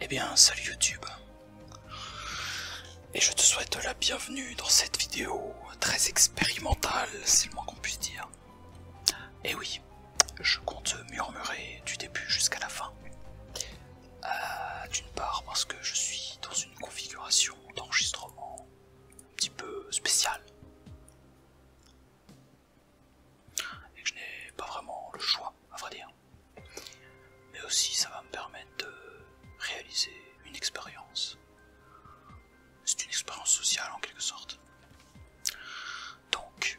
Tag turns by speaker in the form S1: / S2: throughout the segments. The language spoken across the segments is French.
S1: Eh bien, salut YouTube Et je te souhaite la bienvenue dans cette vidéo très expérimentale, c'est le moins qu'on puisse dire. Et eh oui, je compte murmurer du début jusqu'à la fin. Euh, d'une part parce que je suis dans une configuration d'enregistrement un petit peu spéciale. Et que je n'ai pas vraiment le choix, à vrai dire. Mais aussi ça va me permettre de réaliser une expérience. C'est une expérience sociale en quelque sorte. Donc,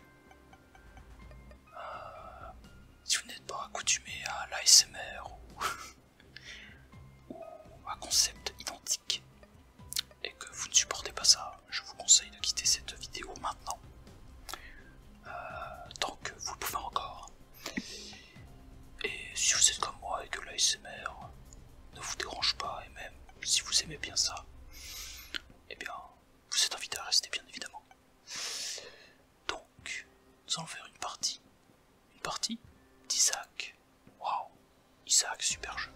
S1: euh, si vous n'êtes pas accoutumé à l'ASMR ou, à concept identique et que vous ne supportez pas ça, je vous conseille de quitter cette vidéo maintenant. Euh, tant que vous pouvez encore. Et si vous êtes comme moi et que l'ASMR ne vous dérange pas, et même si vous aimez bien ça, et eh bien, vous êtes invité à rester bien évidemment. Donc, nous allons faire une partie. Une partie d'Isaac. Waouh Isaac, super jeu.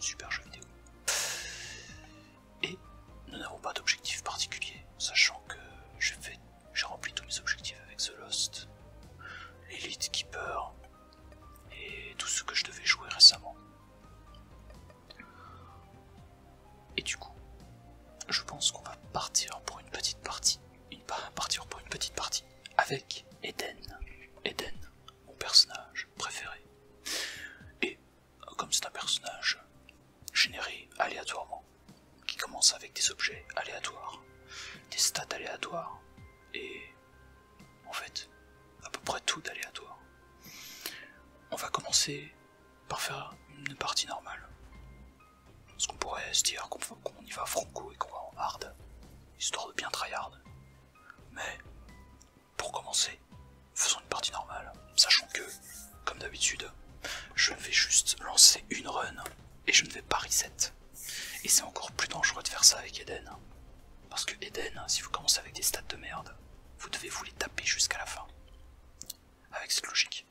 S1: Super jeu vidéo. Et nous n'avons pas d'objectif particulier, sachant que j'ai rempli tous mes objectifs avec The Lost, l'Elite Keeper et tout ce que je devais jouer récemment. Et du coup, je pense qu'on va partir pour une petite partie, une partir pour une petite partie avec Eden, Eden, mon personnage préféré. Et comme c'est un personnage généré aléatoirement, qui commence avec des objets aléatoires, des stats aléatoires, et en fait, à peu près tout aléatoire On va commencer par faire une partie normale. Parce qu'on pourrait se dire qu'on y va franco et qu'on va en hard, histoire de bien tryhard. Mais, pour commencer, faisons une partie normale, sachant que comme d'habitude, je vais juste lancer une run et je ne vais pas reset. Et c'est encore plus dangereux de faire ça avec Eden. Parce que Eden, si vous commencez avec des stats de merde, vous devez vous les taper jusqu'à la fin. Avec cette logique.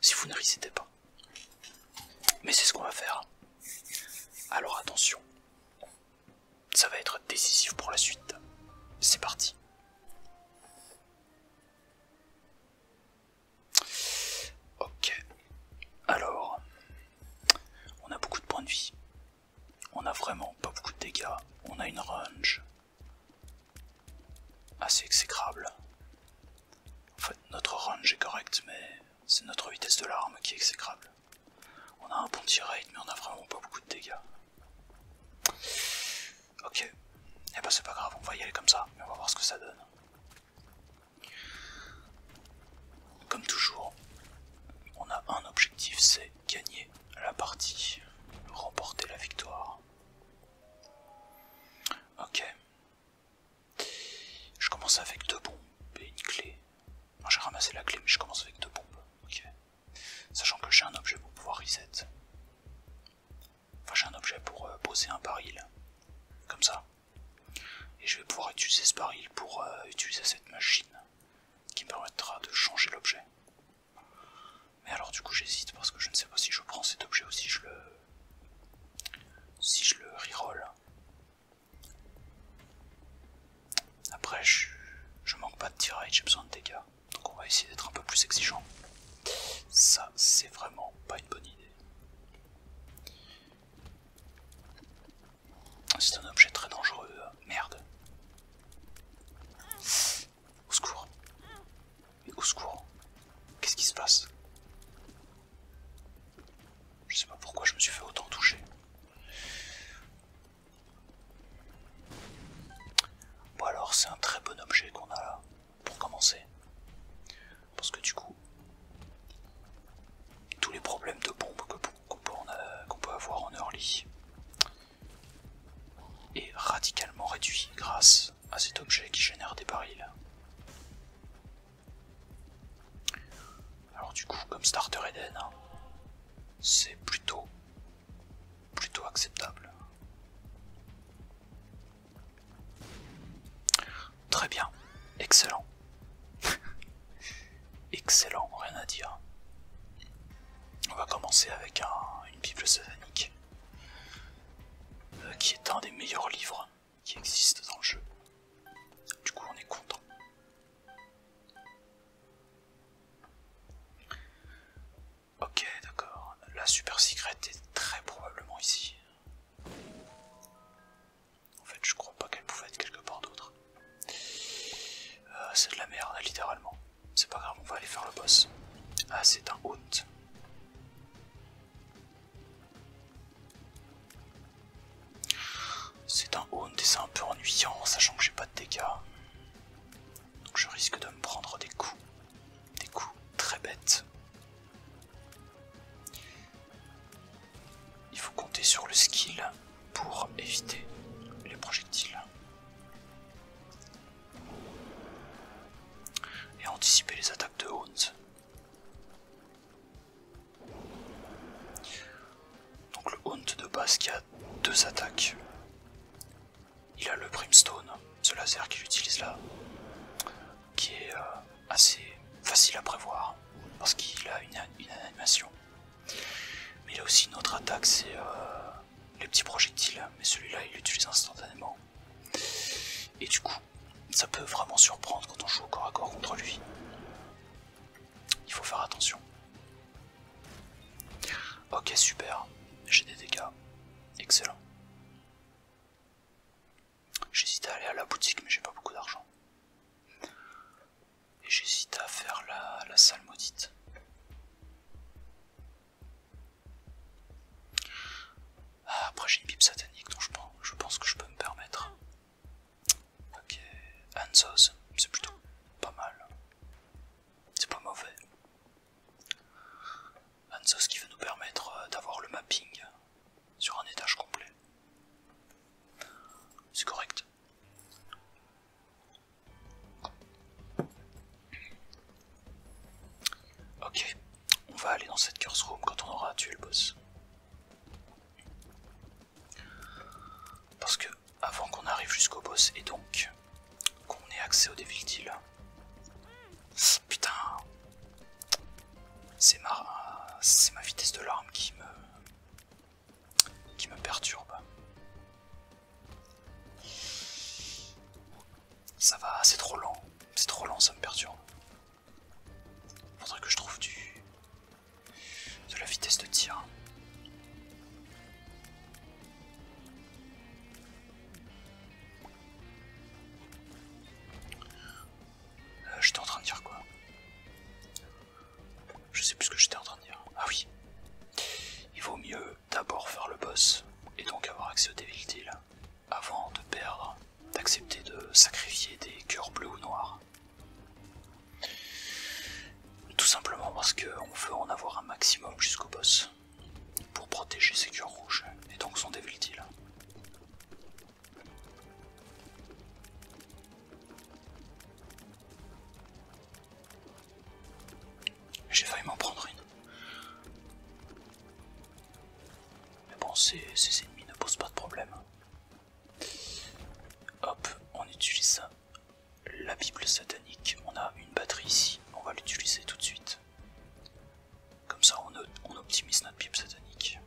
S1: Si vous ne resetez pas. Mais c'est ce qu'on va faire. Alors attention. Ça va être décisif pour la suite. C'est parti. Ok. Alors, on a beaucoup de points de vie. On a vraiment pas beaucoup de dégâts. On a une range assez exécrable. En fait, notre range est correcte, mais c'est notre vitesse de l'arme qui est exécrable. On a un bon tir rate, mais on a vraiment pas beaucoup de dégâts. Ok, et eh ben, c'est pas grave, on va y aller comme ça, mais on va voir ce que ça donne. Comme toujours, on a un objectif, c'est gagner la partie, remporter la victoire. Ok. Je commence avec deux bombes et une clé. j'ai ramassé la clé, mais je commence avec deux bombes. Ok. Sachant que j'ai un objet pour pouvoir reset. Enfin, j'ai un objet pour euh, poser un baril, comme ça. Et je vais pouvoir utiliser ce baril pour euh, utiliser cette machine qui me permettra de changer l'objet. Mais alors, du coup, j'hésite parce que je ne sais pas si je prends cet objet ou si je le. si je le reroll. Après, je, je manque pas de tirage, j'ai besoin de dégâts. Donc on va essayer d'être un peu plus exigeant. Ça, c'est vraiment pas une bonne idée. C'est un objet très dangereux. Hein. Merde. Au secours. au secours. Qu'est-ce qui se passe Je sais pas pourquoi je me suis fait autant toucher. Bon alors c'est un très bon objet qu'on a là pour commencer. Parce que du coup, tous les problèmes de pompe qu'on peut, euh, peut avoir en early est radicalement réduit grâce à cet objet qui génère des barils. Alors du coup, comme Starter Eden, hein, c'est plutôt, plutôt acceptable. Très bien, excellent. excellent, rien à dire. On va commencer avec une Bible satanique, euh, qui est un des meilleurs livres qui existent dans le jeu. Du coup, on est content. Ok, d'accord. La super secret est très probablement ici. En fait, je crois pas qu'elle pouvait être quelque part d'autre. Euh, c'est de la merde, littéralement. C'est pas grave, on va aller faire le boss. Ah, c'est un haunt. C'est un haunt et c'est un peu ennuyant, sachant que j'ai pas de dégâts. Donc je risque de me prendre des coups des coups très bêtes. Il faut compter sur le skill pour éviter les projectiles. Et anticiper les attaques de haunt Donc le haunt de base qui a deux attaques. Il a le Brimstone, ce laser qu'il utilise là qui est euh, assez facile à prévoir parce qu'il a une, animation. Mais il a aussi une autre attaque, c'est euh, les petits projectiles, mais celui-là il l'utilise instantanément. Et du coup, ça peut vraiment surprendre quand on joue au corps à corps contre lui. Il faut faire attention. Ok, super, j'ai des dégâts. Excellent. J'hésite à aller à la boutique, mais j'ai pas beaucoup d'argent. Et j'hésite à faire la, salle maudite. Ah, après, j'ai une pipe satanique, donc je pense, je pense que je peux me permettre. Ok, Anzos, c'est plutôt pas mal. C'est pas mauvais. Ansos qui va nous permettre euh, d'avoir le mapping sur un étage complet. C'est correct. Ok, on va aller dans cette curse room quand on aura tué le boss. Parce que avant qu'on arrive jusqu'au boss et donc qu'on ait accès au Devil Deal, Putain. C'est ma... C'est ma vitesse de l'arme qui me... qui me perturbe. Ça va, c'est trop lent. C'est trop lent, ça me perturbe. Faudrait que je trouve du... de la vitesse de tir. Je euh, j'étais en train de dire quoi Je sais plus ce que j'étais en train de dire. Ah oui. Il vaut mieux d'abord faire le boss et donc avoir accès au Devil avant de perdre, d'accepter de sacrifier des cœurs bleus ou noirs. Tout simplement parce qu'on veut en avoir un maximum jusqu'au boss pour protéger ses cœurs rouges et donc son Devil Deal. J'ai failli m'en prendre une. Mais bon, ces, ennemis ne posent pas de problème. Hop, on utilise ça. La Bible satanique, on a une batterie ici, on va l'utiliser tout de suite. Comme ça, on, optimise notre pipe satanique.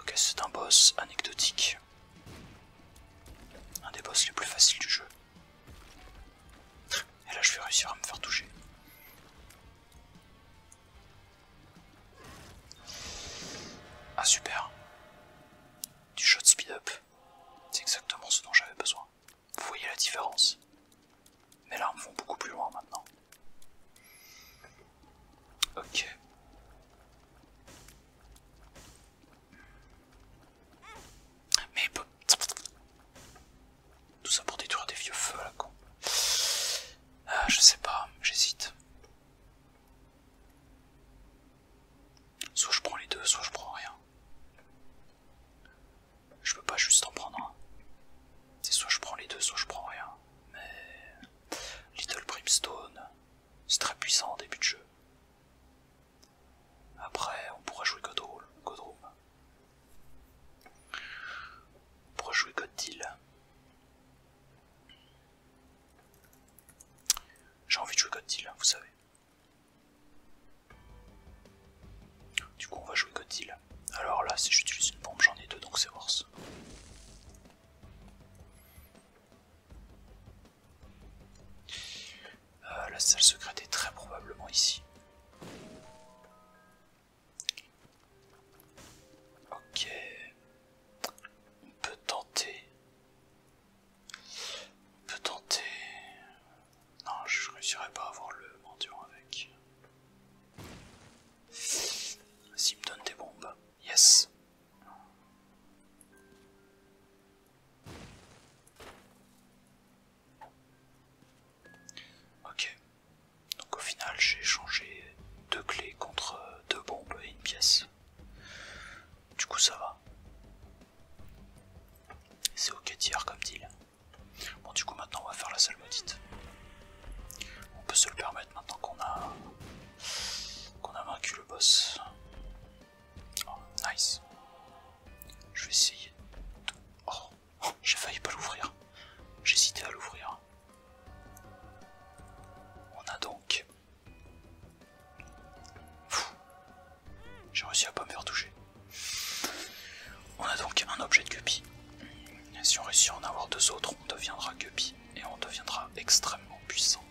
S1: Ok, c'est un boss anecdotique. Un des boss les plus faciles du jeu. Et là, je vais réussir à me faire toucher. Ah super Du shot speed up. C'est exactement ce dont j'avais besoin. Vous voyez la différence Mes larmes vont beaucoup plus loin maintenant. Ok. Mais tout ça pour détruire des vieux feux à la con. Ah, je sais pas, j'hésite. Soit je prends les deux, soit je prends rien. Je peux pas juste en prendre un. C'est soit je prends les deux, soit je prends rien. Mais Little Brimstone, c'est très puissant en début de jeu. Après, on pourra jouer God Godroom. On pourra jouer God Deal. J'ai envie de jouer Godzilla, vous savez. Du coup, on va jouer Godzilla. Alors là, si j'utilise une bombe, j'en ai deux, donc c'est worse. Euh, la salle secrète est très probablement ici. Ok. On peut tenter. peut tenter. Non, je réussirai pas à avoir le mendiant avec. S'il me donne des bombes. Yes. Ok, donc au final j'ai échangé deux clés contre deux bombes et une pièce. Du coup ça va. C'est ok dire comme deal. Bon du coup maintenant on va faire la salle maudite. On peut se le permettre maintenant qu'on a qu'on a vaincu le boss. Oh, nice. Je vais essayer Oh, j'ai failli pas l'ouvrir. J'hésitais à l'ouvrir. On a donc... J'ai réussi à pas me retoucher. On a donc un objet de Guppy. Si on réussit à en avoir deux autres, on deviendra Guppy et on deviendra extrêmement puissant.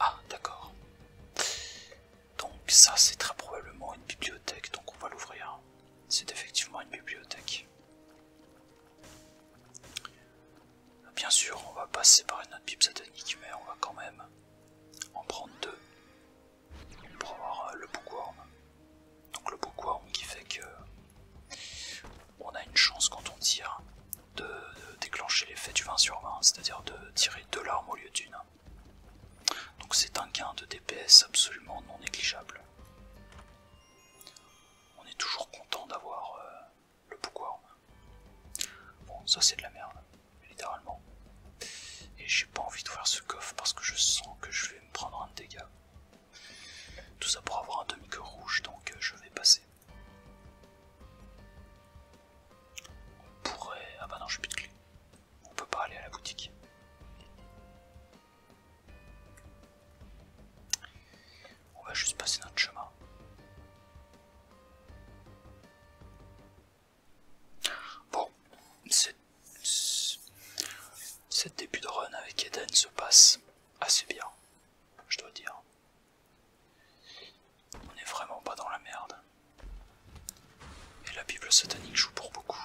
S1: Ah, d'accord. Donc ça, c'est très probablement une bibliothèque, donc on va l'ouvrir. C'est effectivement une bibliothèque. Bien sûr, on va pas séparer notre pipe satanique, mais on va quand même en prendre deux pour avoir euh, le bookworm. Donc le bookworm qui fait que on a une chance quand on tire de, de déclencher l'effet du 20 sur 20, c'est-à-dire de tirer deux larmes au lieu d'une. Donc c'est un gain de DPS absolument non négligeable. On est toujours content d'avoir euh, le bookworm. Bon, ça c'est de la merde, littéralement. Et j'ai pas envie de voir ce coffre parce que je sens que je vais me prendre un dégât. Tout ça pour avoir un demi-cœur rouge, donc euh, je vais passer. On pourrait... Ah bah non, j'ai plus de clé on peut pas aller à la boutique. On va juste passer notre chemin. Bon, cette début de run avec Eden se passe assez bien, je dois dire. On n'est vraiment pas dans la merde. Et la Bible satanique joue pour beaucoup.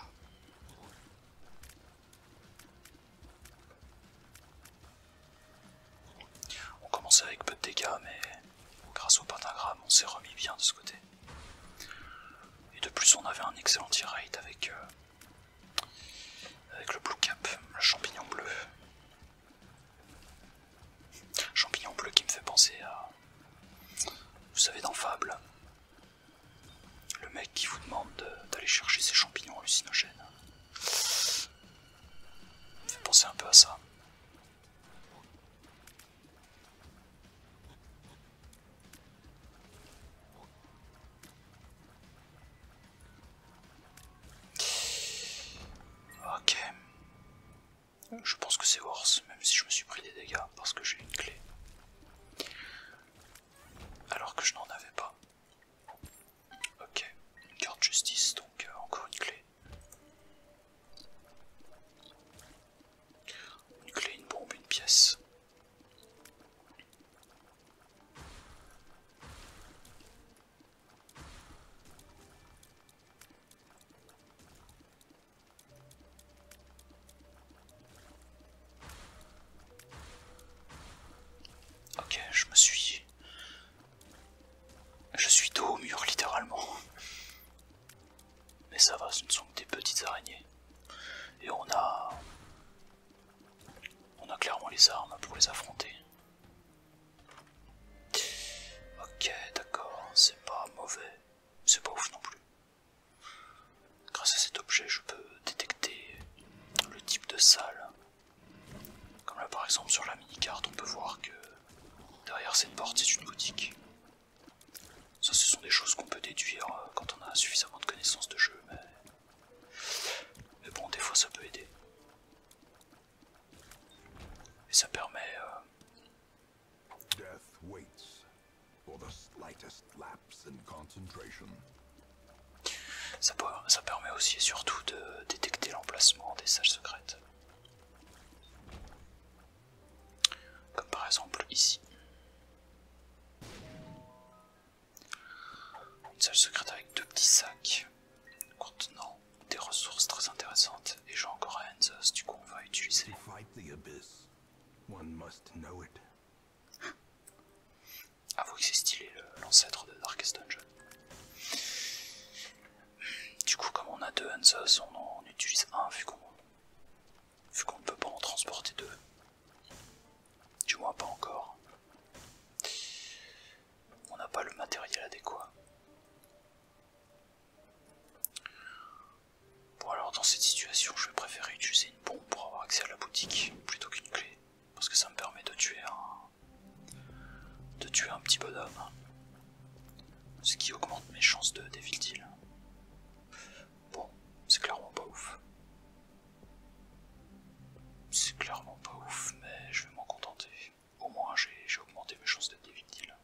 S1: On commençait avec peu de dégâts, mais grâce au pentagramme, on s'est remis bien de ce côté. Et de plus, on avait un excellent tirade avec, euh, avec le blue cap, le champignon bleu. Champignon bleu qui me fait penser à. Vous savez, dans Fable, le mec qui vous demande d'aller chercher ses champignons hallucinogènes. Ça fait penser un peu à ça. Ok. Je pense que c'est worse, même si je me suis pris des dégâts parce que j'ai une clé alors que je n'en avais pas. Ok, une carte justice, donc euh, encore une clé. Une clé, une bombe, une pièce. Ok, je me suis... Je suis dos au mur littéralement. Mais ça va, ce ne sont que des petites araignées. Et on a... On a clairement les armes pour les affronter. Ok, d'accord, c'est pas mauvais. C'est pas ouf non plus. Grâce à cet objet, je peux détecter le type de salle. Comme là par exemple sur la mini-carte, on peut voir que derrière cette porte c'est une boutique. Ça ce sont des choses qu'on peut déduire euh, quand on a suffisamment de connaissances de jeu, mais... bon des fois ça peut aider. Et ça permet... Euh, pour concentration. Ça, permet aussi et surtout de détecter l'emplacement des salles secrètes. Comme par exemple ici. Une salle secrète avec deux petits sacs contenant des ressources très intéressantes. Et j'ai encore un Enzos, euh, du coup on va utiliser. Ah que c'est stylé l'ancêtre de Darkest Dungeon. Du coup, comme on a deux Hansos, on en utilise un vu qu'on ne peut pas en transporter deux. Du moins, pas encore. On n'a pas le matériel adéquat. Bon, alors dans cette situation, je vais préférer utiliser Bon, pour avoir accès à la boutique plutôt qu'une clé, parce que ça me permet de tuer un, de tuer un petit ce qui augmente mes chances de dévil Deal. Bon, c'est clairement pas ouf. C'est clairement pas ouf, mais je vais m'en contenter. Au moins, j'ai augmenté mes chances de Devil Deal.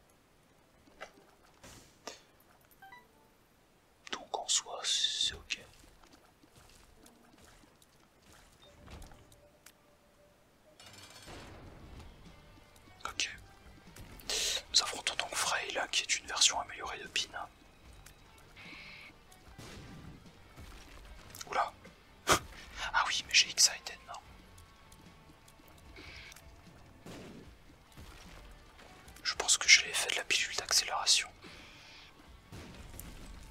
S1: Donc en soi, c'est ok. Ok. Nous affrontons donc là qui est une version améliorée de Pina. Oula Ah oui, mais j'ai excited, non Je pense que j'ai l'effet de la pilule d'accélération.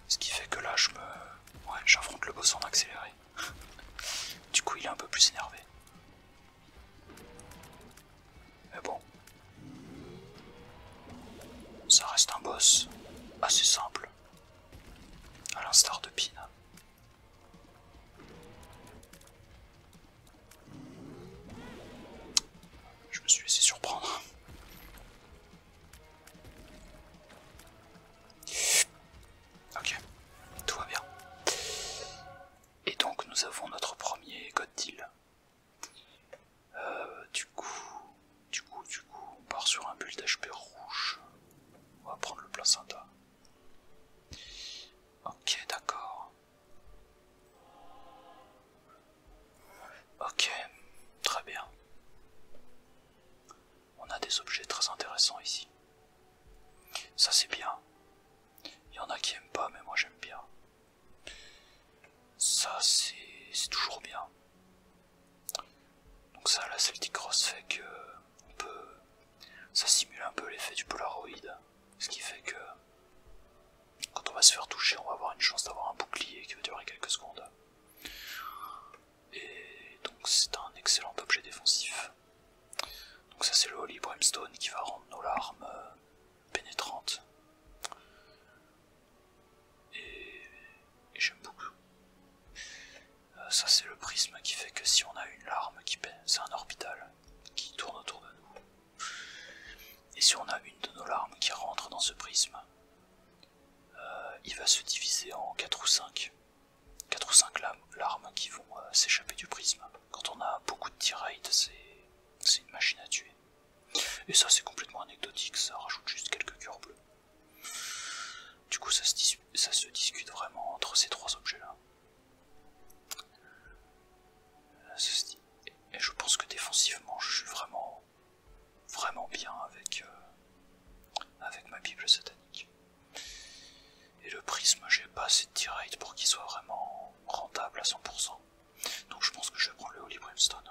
S1: Ce qui fait que là, je me... ouais, j'affronte le boss en accéléré. du coup, il est un peu plus énervé. Mais bon. Ça reste un boss assez simple. À l'instar de Pina. Je me suis laissé surprendre. Ok, tout va bien. Et donc nous avons notre premier God Deal. Euh, du coup, du coup, du coup, on part sur un build HP rouge. On va prendre le placenta. Ok, d'accord. Ok, très bien. On a des objets très intéressants ici. Ça c'est bien. Il y en a qui aiment pas, mais moi j'aime bien. Ça c'est toujours bien. Donc ça, la Celtic Cross fait que peut, ça simule un peu l'effet du Polaroid, ce qui fait que quand on va se faire toucher, on va avoir une chance d'avoir un bouclier qui va durer quelques secondes. Et donc c'est un excellent objet défensif. Donc ça c'est le Holy Brimstone qui va rendre nos larmes euh, pénétrantes. Et, j'aime beaucoup. Euh, ça c'est le prisme qui fait que si on a une larme qui c'est un orbital qui tourne autour de nous. Et si on a une de nos larmes qui rentre dans ce prisme, euh, il va se diviser en quatre ou cinq, quatre ou cinq larmes, qui vont euh, s'échapper du prisme. Quand on a beaucoup de tirades, c'est une machine à tuer. Et ça c'est complètement anecdotique, ça rajoute juste quelques cœurs bleus. Du coup ça se, ça se discute vraiment entre ces trois objets-là. Euh, et je pense que défensivement je suis vraiment vraiment, bien avec, euh, avec ma Bible satanique. Et le prisme, j'ai pas assez de direct pour qu'il soit vraiment rentable à 100%. Donc je pense que je vais prendre le Holy Brimstone.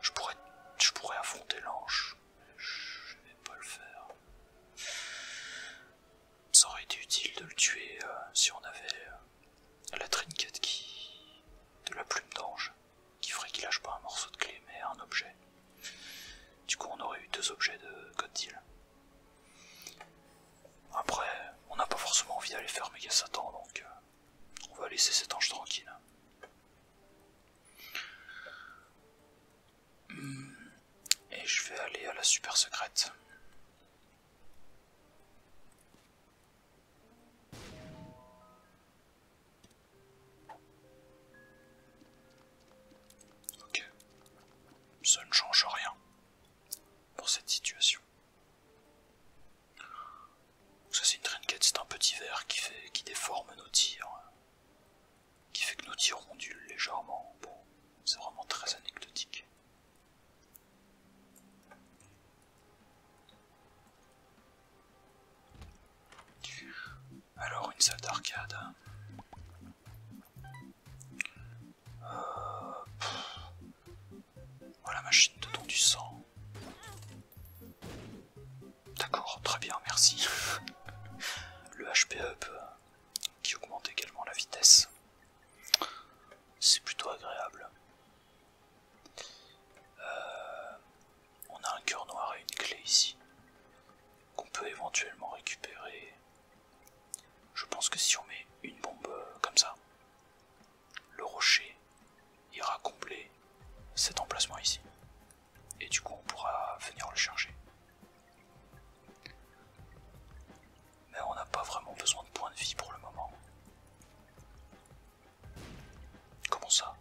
S1: Je pourrais, affronter l'ange, mais je vais pas le faire. Ça aurait été utile de le tuer euh, si on avait euh, la trinquette qui... de la plume d'ange, qui ferait qu'il lâche pas un morceau de clé mais un objet. Du coup on aurait eu deux objets de God Après, on n'a pas forcément envie d'aller faire méga Satan, donc euh, on va laisser cet ange tranquille. Hmm. Et je vais aller à la super secrète. Ok, ça ne change rien pour cette situation. Ça c'est une trinquette, c'est un petit verre qui, qui déforme nos tirs, qui fait que nos tirs ondulent légèrement. Bon, c'est vraiment très anecdotique. Alors une salle d'arcade. voilà euh, oh, la machine de don du sang. D'accord, très bien, merci. Le HP up qui augmente également la vitesse. C'est plutôt agréable. Euh, on a un cœur noir et une clé ici qu'on peut éventuellement récupérer. Je pense que si on met une bombe euh, comme ça, le rocher ira combler cet emplacement ici. Et du coup on pourra venir le chercher Mais on n'a pas vraiment besoin de points de vie pour le moment. Comment ça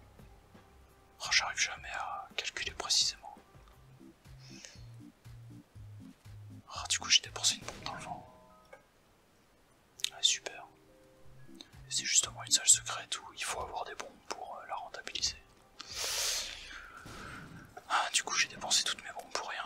S1: oh, J'arrive jamais à calculer précisément. Ah, du coup, j'ai dépensé une bombe dans le vent. super. C'est justement une salle secrète où il faut avoir des bombes pour euh, la rentabiliser. Ah, du coup, j'ai dépensé toutes mes bombes pour rien.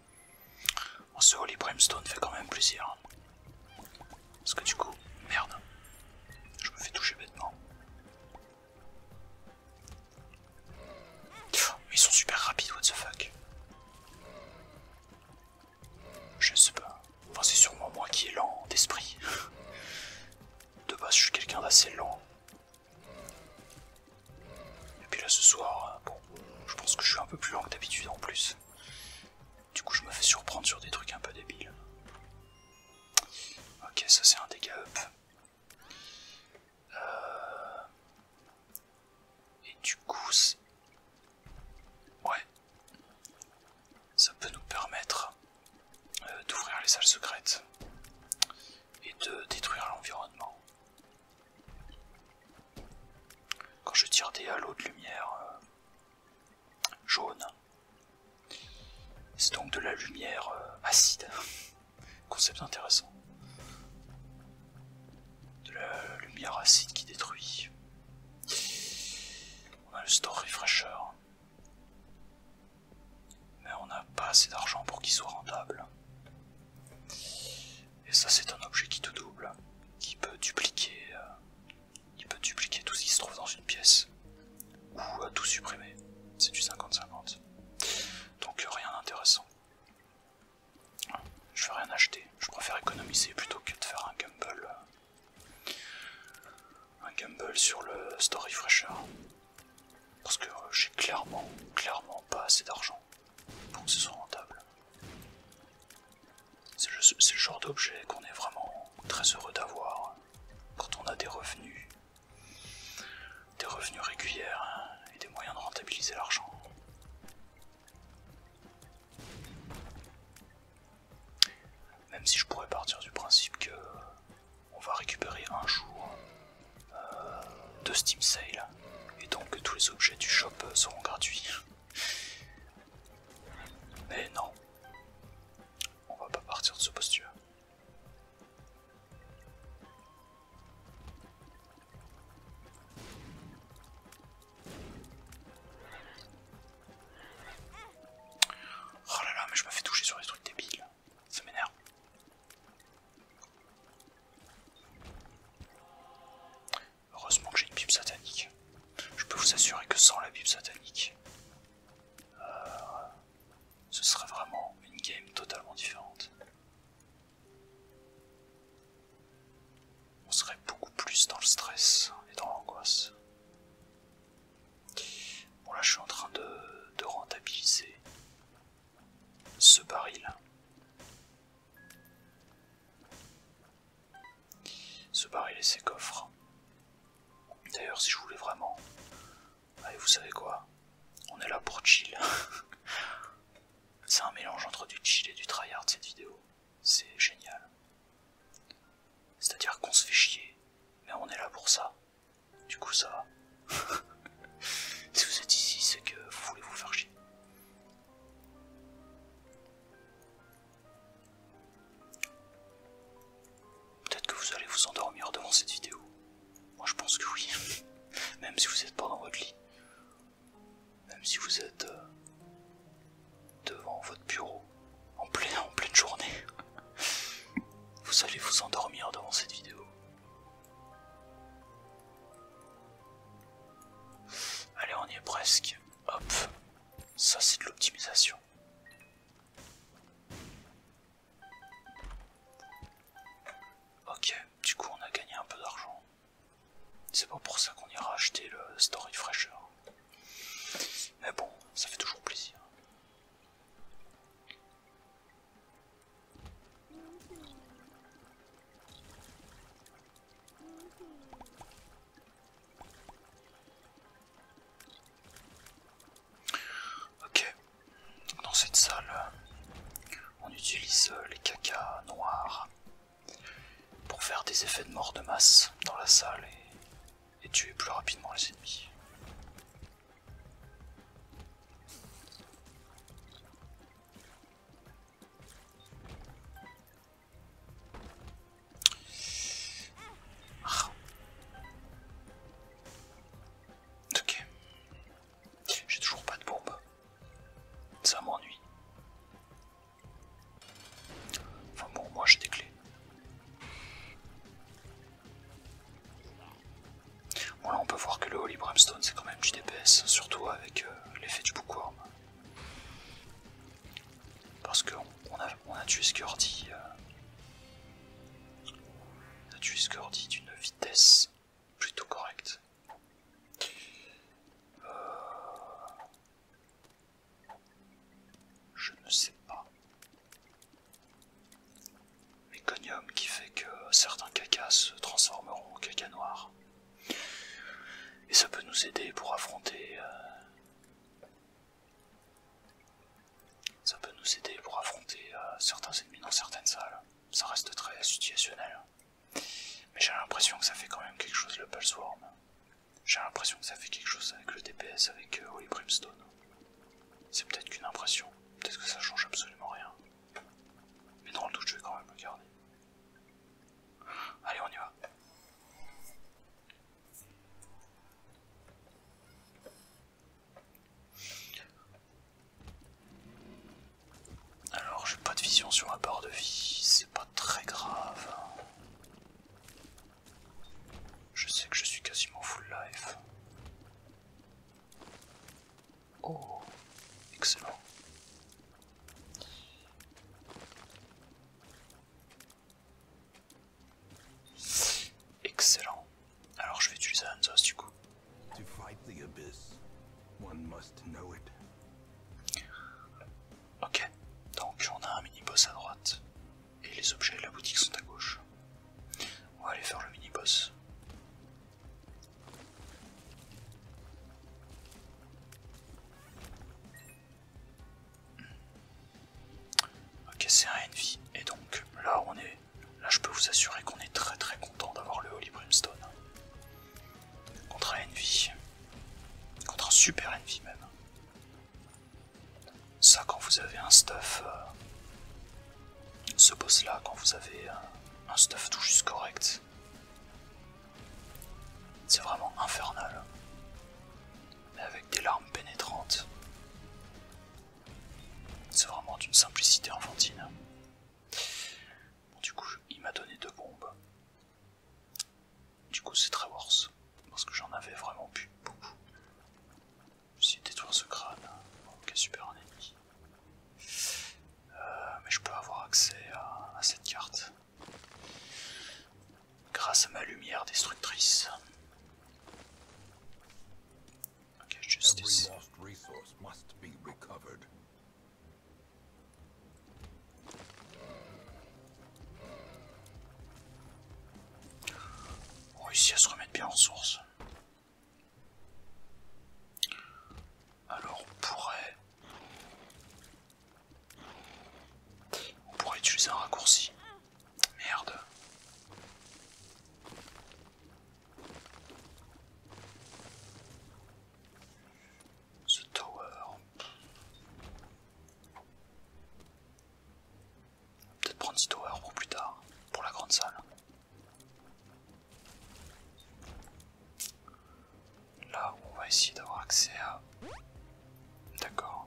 S1: ce Holy Brimstone fait quand même plaisir. Hein. Parce que du coup, merde, je me fais toucher bêtement. Mais ils sont super rapides, what the fuck. Je sais pas. Enfin, c'est sûrement moi qui est lent d'esprit. De base, je suis quelqu'un d'assez lent et puis là ce soir, euh, bon, je pense que je suis un peu plus lent que d'habitude en plus. Du coup je me fais surprendre sur des trucs un peu débiles. Ok, ça c'est un dégât up. Euh, et du coup, ouais, ça peut nous permettre euh, d'ouvrir les salles secrètes et de détruire l'environnement. Quand je tire des halos de lumière euh, jaune, c'est donc de la lumière euh, acide. Concept intéressant. De la lumière acide qui détruit. On a le store refresher. Mais on n'a pas assez d'argent pour qu'il soit rentable. Et ça c'est un objet qui te double, qui peut dupliquer, euh, il peut dupliquer tout ce qui se trouve dans une pièce, ou euh, tout supprimer, c'est du 50-50. Donc euh, rien d'intéressant. Je vais rien acheter, je préfère économiser plutôt que de faire un gamble, un gamble sur le Story Fresher. Parce que j'ai clairement, clairement pas assez d'argent pour que ce soit rentable. C'est le genre d'objet qu'on est vraiment très heureux d'avoir quand on a des revenus, des revenus réguliers hein, et des moyens de rentabiliser l'argent. Même si je pourrais partir du principe que on va récupérer un jour de Steam Sale, et donc tous les objets du shop seront gratuits. Mais non, on va pas partir de ce posture. Oh là là, mais je me fais toucher sur les trucs débiles, ça m'énerve. Heureusement que j'ai une Bible satanique. Je peux vous assurer que sans la Bible satanique, euh, ce serait vraiment une game totalement différente. On serait beaucoup plus dans le stress et dans l'angoisse. Bon là je suis en train de, de rentabiliser ce baril. Ce barrer et ses coffres. D'ailleurs, si je voulais vraiment. Allez, vous savez quoi On est là pour chill. C'est un mélange entre du chill et du tryhard cette vidéo. C'est génial. C'est-à-dire qu'on se fait chier, mais on est là pour ça. Du coup, ça va. si vous êtes ici, c'est que vous voulez vous faire chier. Peut-être que vous allez vous endormir devant cette vidéo. Moi je pense que oui. Même si vous n'êtes pas dans votre lit. Même si vous êtes euh, devant votre bureau en, plein, en pleine journée. Vous allez vous endormir devant cette vidéo. Allez, on y est presque. Hop, ça c'est de l'optimisation. Ok, du coup on a gagné un peu d'argent. C'est pas pour ça qu'on ira acheter le Story fraîcheur Mais bon, ça fait toujours plaisir. Ok, dans cette salle, on utilise euh, les cacas noirs pour faire des effets de mort de masse dans la salle et tuer plus rapidement les ennemis. Ah. Ok. J'ai toujours pas de bombe. Ça m'ennuie. Enfin bon, moi j'ai des clés. Bon là on peut voir que le Holy Bramstone c'est quand même du DPS, surtout avec euh, l'effet du bookworm. Parce qu'on a, on a tué euh, a d'une vitesse plutôt correcte. Euh, je ne sais pas. Méconium qui fait que certains cacas se transformeront en caca noir. Et ça peut nous aider pour affronter... Euh, ça peut nous aider pour affronter euh, certains ennemis dans certaines salles. Ça reste très situationnel. Mais j'ai l'impression que ça fait quand même quelque chose le Pulse Worm J'ai l'impression que ça fait quelque chose avec le DPS, avec euh, Holy Brimstone. C'est peut-être qu'une impression. Peut-être que ça change absolument rien. Mais dans le doute, je vais quand même le garder. Allez, on y va. Alors, j'ai pas de vision sur la barre de vie, c'est pas très grave. Je sais que je suis quasiment full life. Oh, excellent. Excellent. Alors je vais utiliser Anzos du coup. Ok, donc on a un mini-boss à droite et les objets de la boutique sont à gauche. On va aller faire le mini-boss. Ok, c'est un Envy. Et donc là, on est. Là, je peux vous assurer qu'on est très très content d'avoir le Holy Brimstone. Contre un Envy. Contre un super Envy même. Ça, quand vous avez un stuff. Euh, ce boss là, quand vous avez euh, un stuff tout juste correct, c'est vraiment infernal. Mais avec des larmes pénétrantes. C'est vraiment d'une simplicité enfantine. du coup, il m'a donné deux bombes. Du coup, c'est très worse. Parce que j'en avais vraiment plus beaucoup. Si de détruire ce crâne. Ok, hein, super, ennemi. Euh, mais je peux avoir accès à cette carte grâce à ma lumière destructrice. Ok, On réussit à se remettre bien en source. Alors on pourrait... On pourrait utiliser un raccourci. Merde. Ce tower. Peut-être prendre ce tower pour plus tard, pour la grande salle. Là on va essayer d'avoir accès à... D'accord.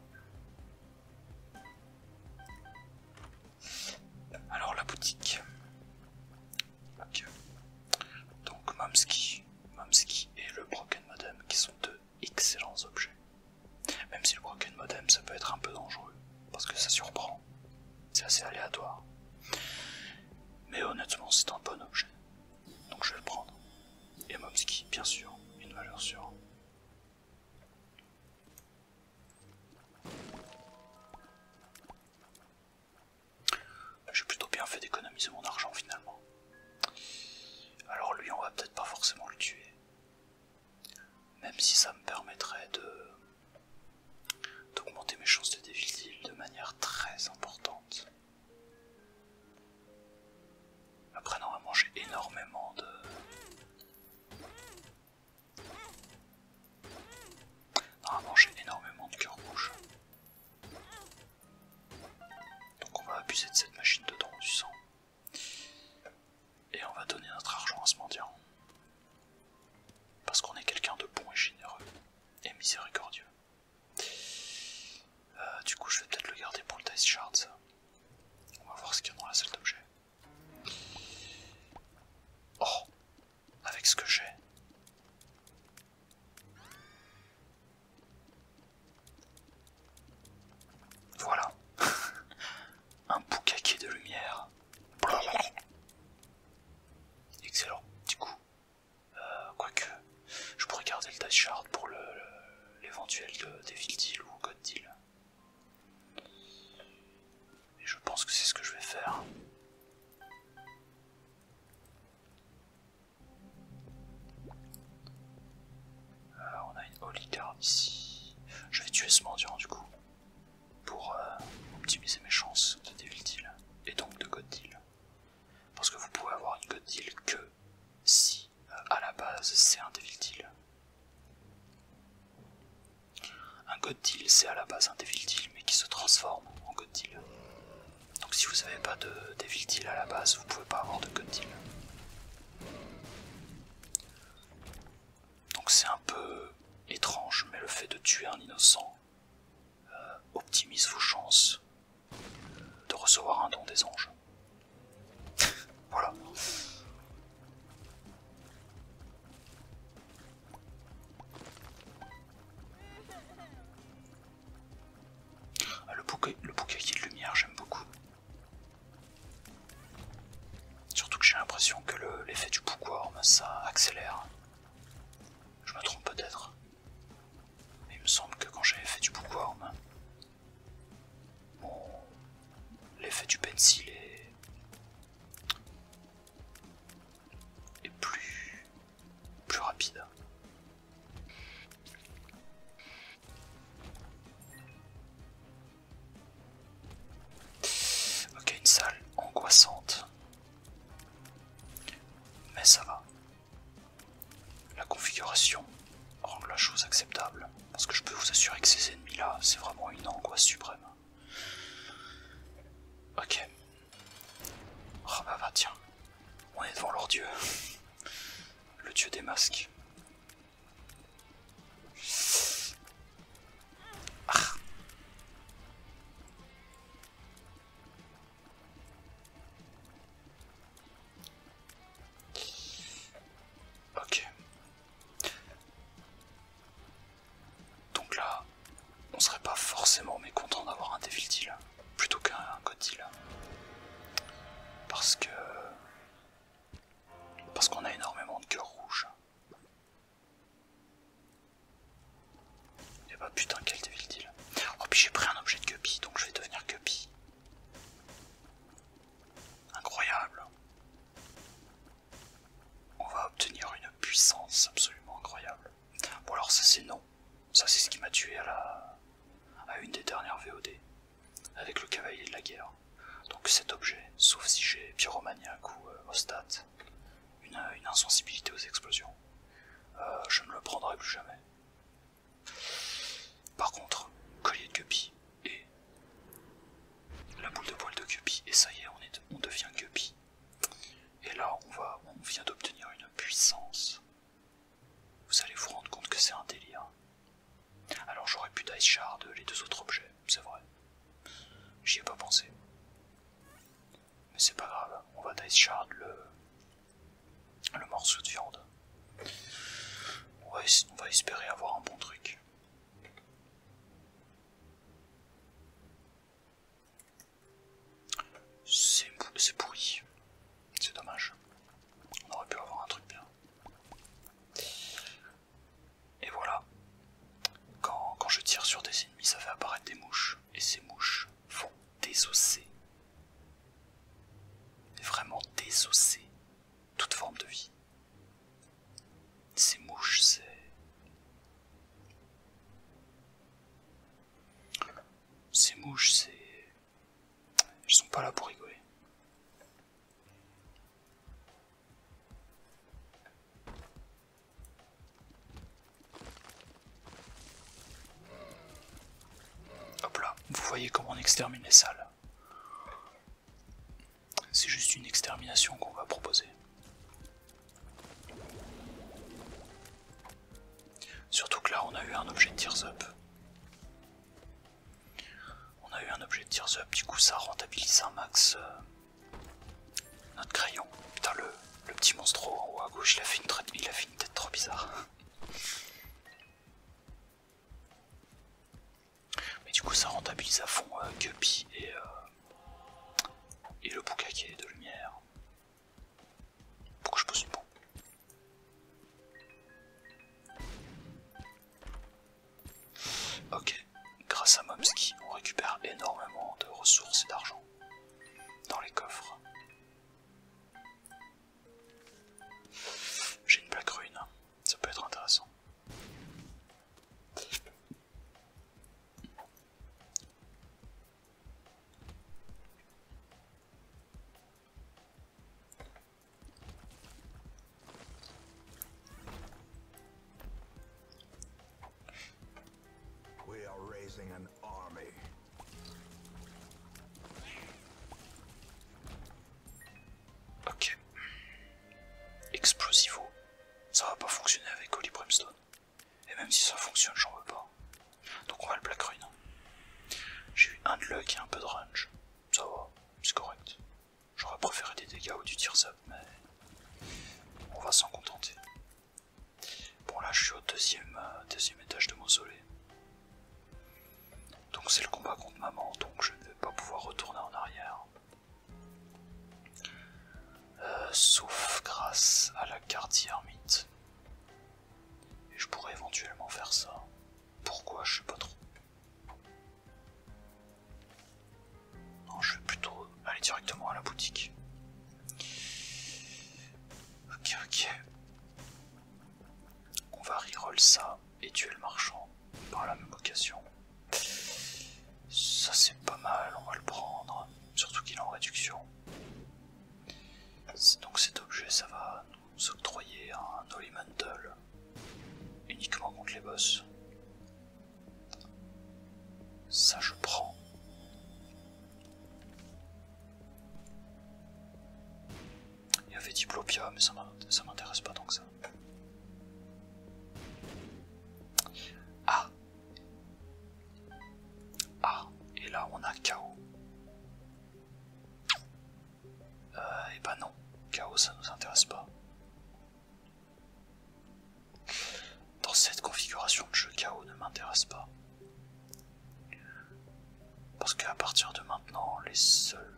S1: Alors la boutique. Ok. Donc Mamski. Mamski et le Broken Modem qui sont deux excellents objets. Même si le Broken Modem ça peut être un peu dangereux. Parce que ça surprend. C'est assez aléatoire. Mais honnêtement c'est un bon objet. Donc je vais le prendre. Et Momski, bien sûr, une valeur sûre. J'ai plutôt bien fait d'économiser mon argent finalement. Alors lui on va peut-être pas forcément le tuer. Même si ça me permettrait de d'augmenter mes chances de Devil de manière très importante. Après, on va manger énormément de. on va manger énormément de cœur rouge. Donc, on va abuser de cette machine de don du sang. Et on va donner notre argent à ce mendiant. Parce qu'on est quelqu'un de bon et généreux et miséricordieux. Euh, du coup, je vais peut-être le garder pour le dice shard. On va voir ce qu'il y a dans la salle d'objets. Oh, avec ce que j'ai. Voilà, un boucaquet de lumière. Excellent, du coup, Quoique, je pourrais garder le die Shard pour l'éventuel de Devil Deal ou God Deal. Et je pense que c'est ce que je vais faire. Euh, on a une Holy Guard ici. Je vais tuer ce mendiant du coup. Pour euh, optimiser mes chances de Devil Deal. Et donc de God Deal. Parce que vous pouvez avoir une God Deal que si euh, à la base c'est un Devil Deal. Un God Deal c'est à la base un Devil Deal mais qui se transforme en God Deal. Donc si vous n'avez pas de Devil Deal à la base, vous ne pouvez pas avoir de God Deal. Donc c'est un peu étrange, mais le fait de tuer un innocent euh, optimise vos chances de recevoir un don des anges. voilà. Ah, le bouquet, qui de lumière, j'aime beaucoup. Surtout que j'ai l'impression que l'effet du bookworm, ça accélère. Je me trompe peut-être il me semble que quand j'avais fait du bookworm, l'effet du pencil est, est plus, plus rapide. Ok, une salle angoissante. Mais ça va, la configuration rend la chose acceptable, parce que je peux vous assurer que ces ennemis-là, c'est vraiment une angoisse suprême. Ok. Ah, bah, bah, tiens, on est devant leur dieu. Le dieu des masques. Ah. Ok. Donc là, on serait pas forcément mécontent d'avoir un Devil Deal plutôt qu'un God Deal. Parce que. Parce qu'on a énormément de cœurs rouges. Et bah putain, quel Devil Deal. Oh, puis j'ai pris un objet de Guppy, donc je vais devenir Guppy. Incroyable. On va obtenir une puissance absolument incroyable. Bon alors ça c'est non. Ça c'est ce qui m'a tué à la à une des dernières VOD. Avec le cavalier de la guerre. Donc cet objet, sauf si j'ai pyromaniac ou hostat, euh, une, insensibilité aux explosions, euh, je ne le prendrai plus jamais. Par contre, collier de Guppy et la boule de poil de Guppy, et ça y est, on, est, on devient Guppy. Et là, on, va, on vient d'obtenir une puissance. Vous allez vous rendre compte que c'est un délire. Alors j'aurais pu Dice les deux autres objets, c'est vrai. J'y ai pas pensé. Mais c'est pas grave, on va Dice le, le morceau de viande. on va espérer avoir un bon truc. C'est pourri, c'est dommage. On aurait pu avoir un truc bien. Et voilà. Quand, je tire sur des ennemis, ça fait apparaître des mouches. Et ces mouches vont désosser c'est vraiment désosser toute forme de vie. Ces mouches, c'est... Ces mouches, c'est... Elles sont pas là pour rigoler. Hop là, vous voyez comment on extermine les salles. C'est juste une extermination qu'on va proposer. Surtout que là on a eu un objet de tears up. On a eu un objet de tears up, du coup ça rentabilise un max euh, notre crayon. Putain le, petit monstre en haut à gauche il a fait une, il a fait une tête trop bizarre. Mais du coup, ça rentabilise à fond euh, Guppy et, euh, et le boucaquet de lumière. Pour je pose une bombe. Ok, grâce à Momski, on récupère énormément de ressources et d'argent dans les coffres. J'ai une plaque ruine, ça peut être intéressant. Ok. Explosivo. Ça va pas fonctionner avec Holy Brimstone. Et même si ça fonctionne, j'en veux pas. Donc on va le Black Rune. J'ai eu un de luck et un peu de range. Ça va, c'est correct. J'aurais préféré des dégâts ou du tir ça mais on va s'en contenter. Bon là je suis au deuxième, euh, deuxième étage de mausolée. Donc c'est le combat contre maman, donc je ne vais pas pouvoir retourner en arrière. Euh, sauf grâce à la carte ermite. Et je pourrais éventuellement faire ça. Pourquoi je sais pas trop. Non, je vais plutôt aller directement à la boutique. Ok, ok. On va reroll ça et tuer le marchand par la même occasion. Ça c'est pas mal, on va le prendre, surtout qu'il est en réduction. Donc cet objet ça va nous octroyer un Holy Mantle uniquement contre les boss. Ça je prends. Il y avait Diplopia, mais ça m'intéresse pas tant que ça. Ah Ah, et là on a KO. Euh, et bah non, chaos, ça nous intéresse pas. Dans cette configuration de jeu, KO ne m'intéresse pas. Parce qu'à partir de maintenant, les seuls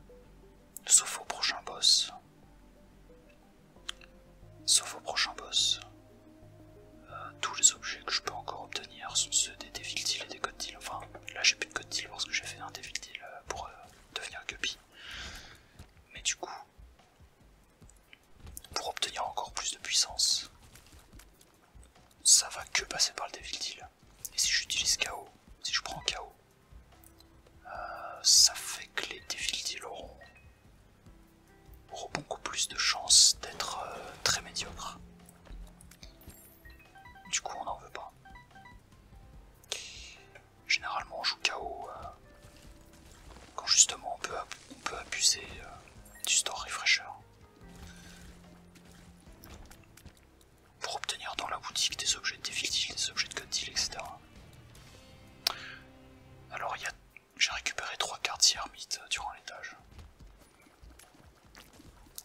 S1: Sauf au prochain boss. Sauf au prochain boss. Euh, tous les objets que je peux encore obtenir sont ceux des Devil Deal et des God Deal. Enfin, là j'ai plus de God Deal parce que j'ai fait un Devil Deal euh, pour euh, devenir Guppy. Mais du coup, pour obtenir encore plus de puissance, ça va que passer par le Devil Deal. Et si j'utilise KO, si je prends KO, euh, ça fait que les défis' Deal auront, beaucoup plus de chances d'être euh, très médiocres. Du coup, on n'en veut pas. Généralement, on joue KO euh, quand justement on peut, on peut abuser du store refresher pour obtenir dans la boutique des objets de des objets de cut etc. Alors il y a... j'ai récupéré trois cartes ermites euh, durant l'étage.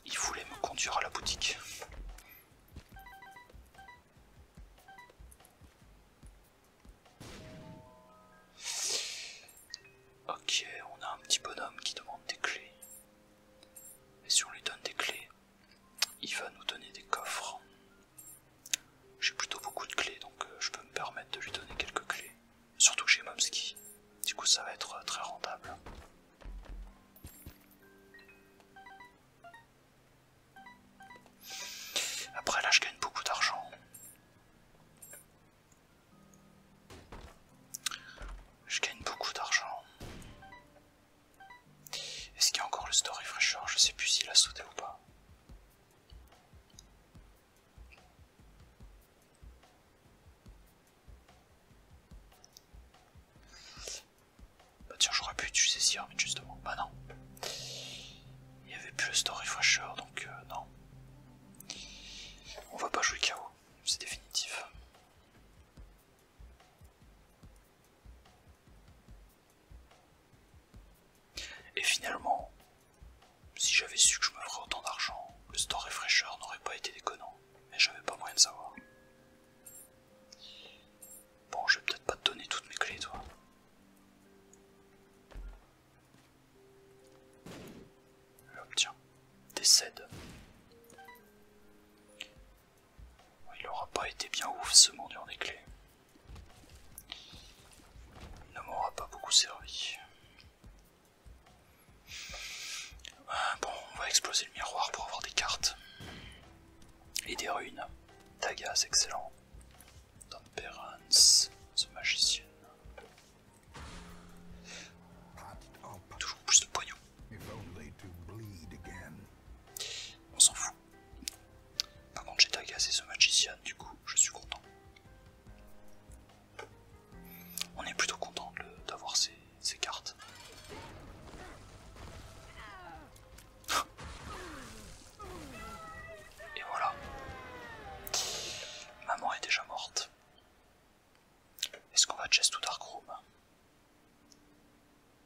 S1: Il voulait me conduire à la boutique. Ok, on a un petit bonhomme qui demande des clés. Et si on lui donne des clés, il va nous donner des coffres. J'ai plutôt beaucoup de clés, donc euh, je peux me permettre de lui donner quelques clés. Surtout que j'ai Momski, du coup ça va être euh, très rentable. Après là je gagne beaucoup d'argent. Je gagne beaucoup d'argent. Est-ce qu'il y a encore le story Refresher Je sais plus s'il a sauté ou pas. Bah tiens, j'aurais pu utiliser Sear, mais justement, bah non. Il n'y avait plus le story Refresher, donc euh, non. On va pas jouer KO, c'est définitif. Et finalement, si j'avais su que je me ferais autant d'argent, le store réfraîcheur n'aurait pas été déconnant, mais j'avais pas moyen de savoir. Bon, je vais peut-être pas te donner toutes mes clés, toi. Hop, tiens, décède. Il aura pas été bien ouf ce monde des clés. Il ne m'aura pas beaucoup servi. Ah, bon, on va exploser le miroir pour avoir des cartes. Et des runes Dagas, excellent. Temperance, The Magician. Toujours plus de poignons. On s'en fout. Par contre, j'ai tagacé ce magicien, du coup, je suis content. On est plutôt content d'avoir ces, cartes. Et voilà. Maman est déjà morte. Est-ce qu'on va chest ou dark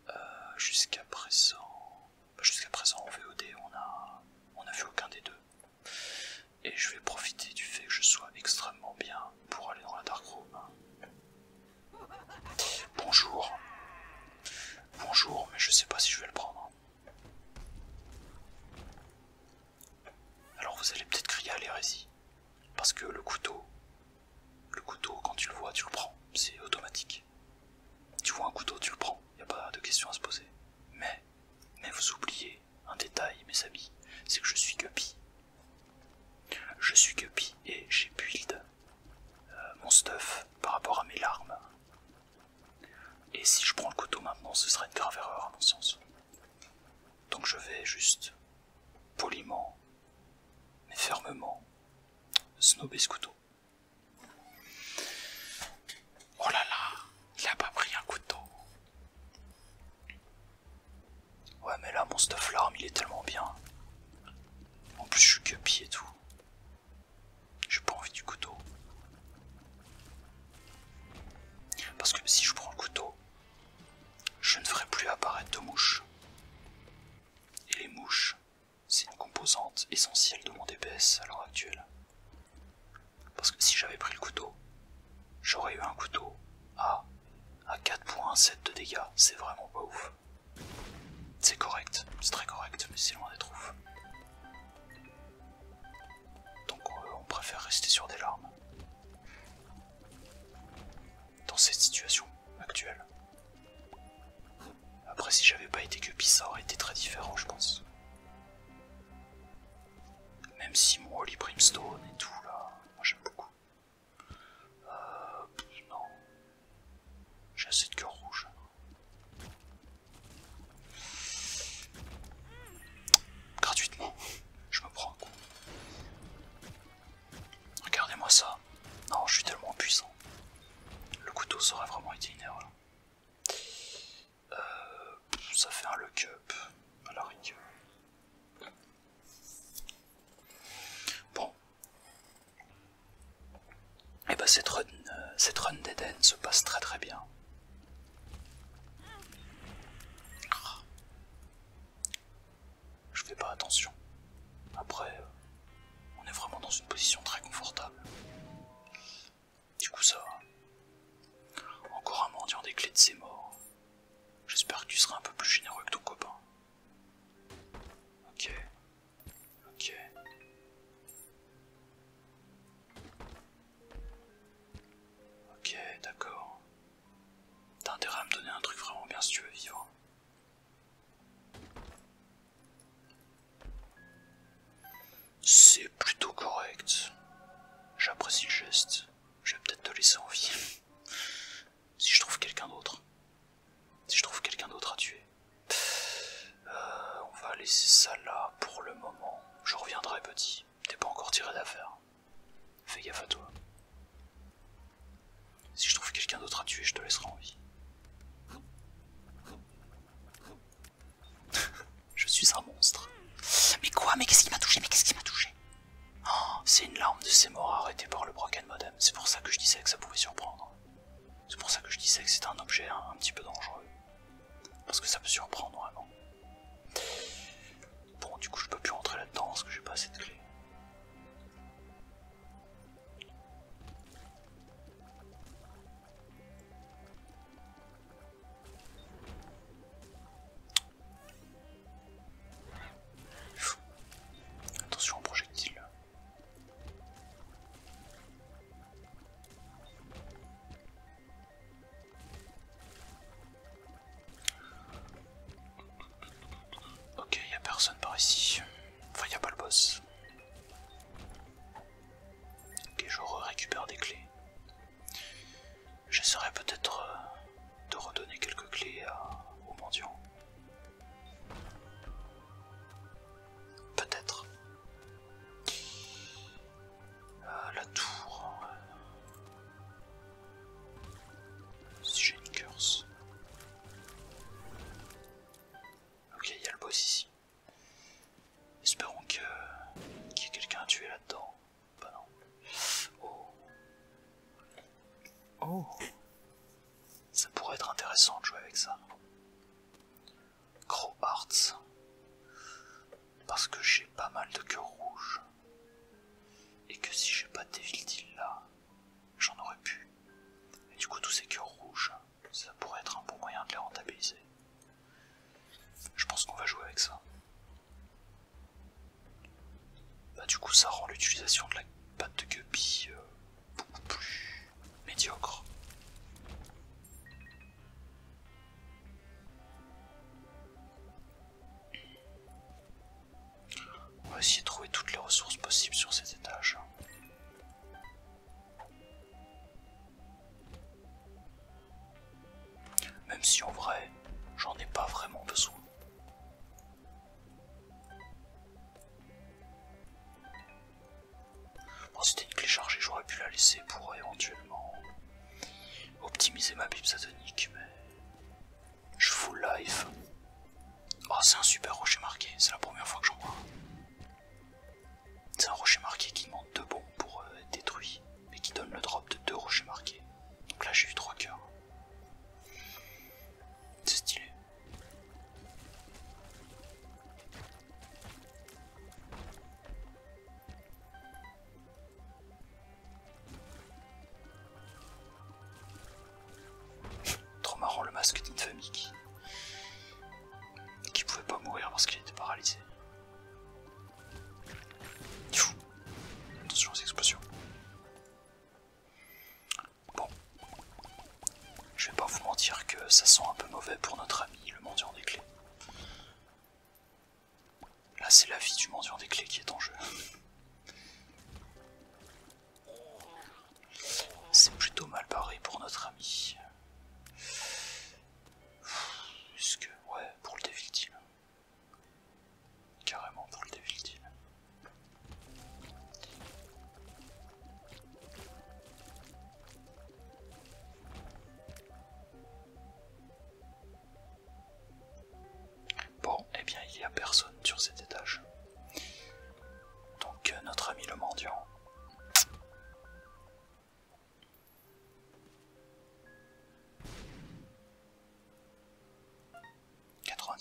S1: euh, jusqu'à présent, bah, jusqu'à présent en VOD, on a, on a vu aucun des deux. Et je vais profiter du fait que je sois extrêmement bien pour aller dans la dark Bonjour. Bonjour, mais je ne sais pas si je vais le prendre. Alors vous allez peut-être crier à l'hérésie, parce que le couteau, le couteau, quand tu le vois, tu le prends, c'est automatique. Tu vois un couteau, tu le prends, il n'y a pas de question à se poser. Mais, mais vous oubliez un détail, mes amis, c'est que je suis Guppy. Je suis Guppy et j'ai build euh, mon stuff par rapport à mes larmes. Et si je prends le couteau maintenant, ce serait une grave erreur à mon sens. Donc je vais juste poliment mais fermement, ce couteau Oh là là, il a pas pris un couteau. Ouais mais là mon stuff l'arme il est tellement bien. En plus je suis guppy et tout. J'ai pas envie du couteau. Parce que si je prends le couteau, je ne ferai plus apparaître de mouches. Et les mouches, c'est une composante essentielle de mon DPS à l'heure actuelle. Parce que si j'avais pris le couteau, j'aurais eu un couteau à, à 4.7 de dégâts. C'est vraiment pas ouf. C'est correct, c'est très correct, mais c'est loin d'être ouf. Donc on préfère rester sur des larmes. Dans cette situation actuel Après, si j'avais pas été que ça aurait été très différent, je pense. Même si mon Holy Brimstone et tout, là, moi j'aime beaucoup. Euh, non. J'ai assez de cœur rouge. Gratuitement, je me prends un coup. Regardez-moi ça. Non, je suis tellement puissant. Le couteau, sera vraiment été une euh, ça fait un look up à la rigueur. Bon. Et eh bah ben, cette run, euh, cette run d'Eden se passe très très bien. Ah. Je fais pas attention. Après, euh, on est vraiment dans une position très confortable. Du coup ça va. Encore un mendiant des clés de ses morts. J'espère que tu seras un peu plus généreux que ton copain. Ok. Ok. Ok, d'accord. T'as intérêt à me donner un truc vraiment bien si tu veux vivre. C'est plutôt correct. J'apprécie le geste. Je vais peut-être te laisser en vie. si je trouve quelqu'un d'autre. Si je trouve quelqu'un d'autre à tuer. Euh, on va laisser ça là pour le moment. Je reviendrai petit. T'es pas encore tiré d'affaire. Fais gaffe à toi. Si je trouve quelqu'un d'autre à tuer, je te laisserai en vie. je suis un monstre. Mais quoi Mais qu'est-ce qui m'a touché Mais qu'est-ce qui m'a touché oh, C'est une larme de morts arrêtée par le Broken Modem. C'est pour ça que je disais que ça pouvait surprendre. C'est pour ça que je disais que c'était un objet un petit peu dangereux. Parce que ça peut surprendre vraiment. Bon, du coup, je peux plus rentrer là-dedans parce que j'ai pas assez de clés. Attention au projectile. Ok, il n'y a personne par ici. Enfin, il n'y a pas le boss. Ok, je récupère des clés. J'essaierai peut-être euh, de redonner quelques clés au mendiant Peut-être. Euh, la tour. Si j'ai une curse. Ok, il y a le boss ici. Espérons qu'il y ait quelqu'un à tuer là-dedans. Bah non. Oh. Oh. Ça pourrait être intéressant de jouer avec ça. Gros Arts, Parce que j'ai pas mal de cœurs rouges, Et que si j'ai pas Devil Deal là, j'en aurais pu. Et du coup tous ces cœurs rouges, ça pourrait être un bon moyen de les rentabiliser. Je pense qu'on va jouer avec ça. Bah, du coup, ça rend l'utilisation de la pâte de guppy euh, beaucoup plus médiocre. On va essayer de trouver toutes les ressources possibles sur cet étage. Même si en vrai, j'en ai pas vraiment besoin. Bon, c'était une clé chargée, j'aurais pu la laisser pour éventuellement optimiser ma pipe satanique, mais je full life. Oh, c'est un super rocher marqué, c'est la première fois que j'en vois. C'est un rocher marqué qui demande de bombes pour euh, être détruit, mais qui donne le drop de deux rochers marqués. Donc là j'ai eu trois coeurs C'est stylé. Trop marrant le masque d'une famille qui... qui pouvait pas mourir parce qu'il était paralysé. Attention aux Bon. Je vais pas vous mentir que ça sent un peu mauvais pour notre ami, le mendiant des clés. Là, c'est la vie du mendiant des clés qui est en jeu. C'est plutôt mal barré pour notre ami. Est-ce que... Ouais, pour le Devil Carrément pour le Devil Bon, eh bien il n'y a personne sur cet étage. Donc notre ami le mendiant.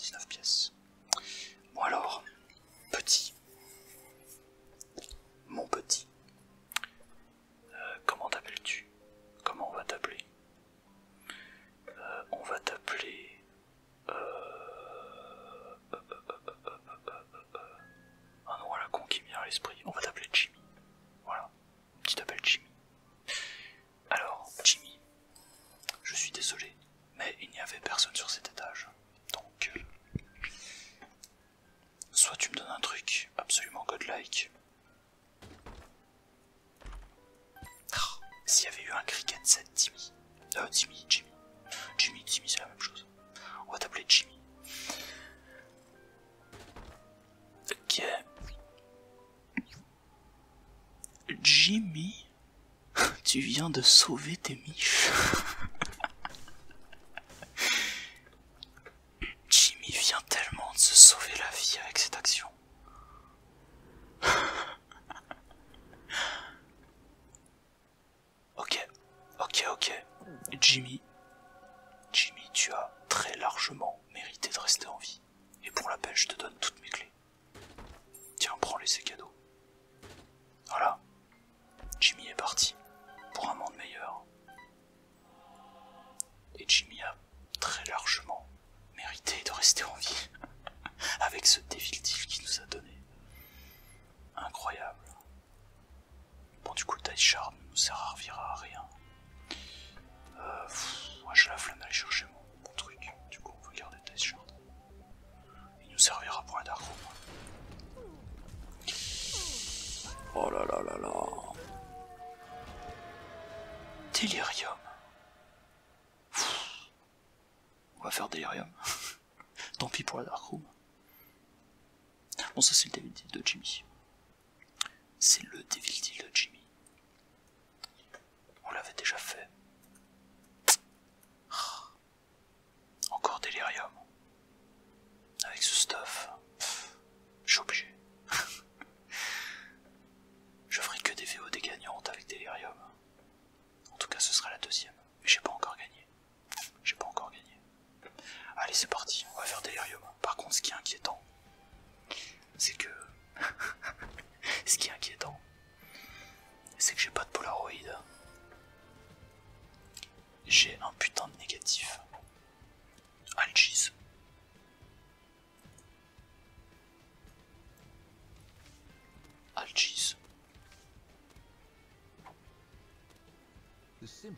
S1: « 99 pièces. Bon alors, petit. Mon petit. comment t'appelles-tu Comment on va t'appeler On va t'appeler... Euh, un nom à la con qui me vient à l'esprit. On va t'appeler Jimmy. Voilà, petit appel Jimmy. Alors, Jimmy, je suis désolé, mais il n'y avait personne sur cet étage. Donc, euh, soit tu me donnes un truc absolument godlike. Ah, s'il y avait eu un cricket set euh, Jimmy Jimmy Jimmy. Jimmy, Jimmy c'est la même chose. On va Jimmy. Jimmy, tu viens de sauver tes miches. Jimmy vient tellement de se sauver la vie avec cette action. Ok, ok, ok. Jimmy, Jimmy, tu as très largement mérité de rester en vie. Et pour la pêche je te donne toutes mes clés. Tiens, prends-les ces cadeaux. Voilà. Jimmy est parti pour un monde meilleur. Et Jimmy a très largement mérité de rester en vie avec ce Devil Deal qu'il nous a donné. Incroyable. Bon, du coup, le Dice Shard ne nous servira à rien. Euh, moi, je la flemme d'aller chercher mon, truc. Du coup, on peut garder le Dice Shard. Il nous servira pour un Dark Room. Hein. Oh là là là là. Delirium. on va faire Delirium. Tant pis pour la Darkroom. Bon, ça c'est le Devil Deal de Jimmy. C'est le Devil Deal de Jimmy. On l'avait déjà fait. Ah. Encore Delirium. Avec ce stuff. Je suis obligé. Je ferai que des VOD gagnantes avec Delirium. En tout cas, ce sera la deuxième, mais j'ai pas encore gagné. J'ai pas encore gagné. Allez, c'est parti, on va faire Delirium. Par contre, ce qui est inquiétant, c'est que. ce qui est inquiétant, c'est que j'ai pas de Polaroid. J'ai un putain de négatif. Allez, cheese. Je ne vais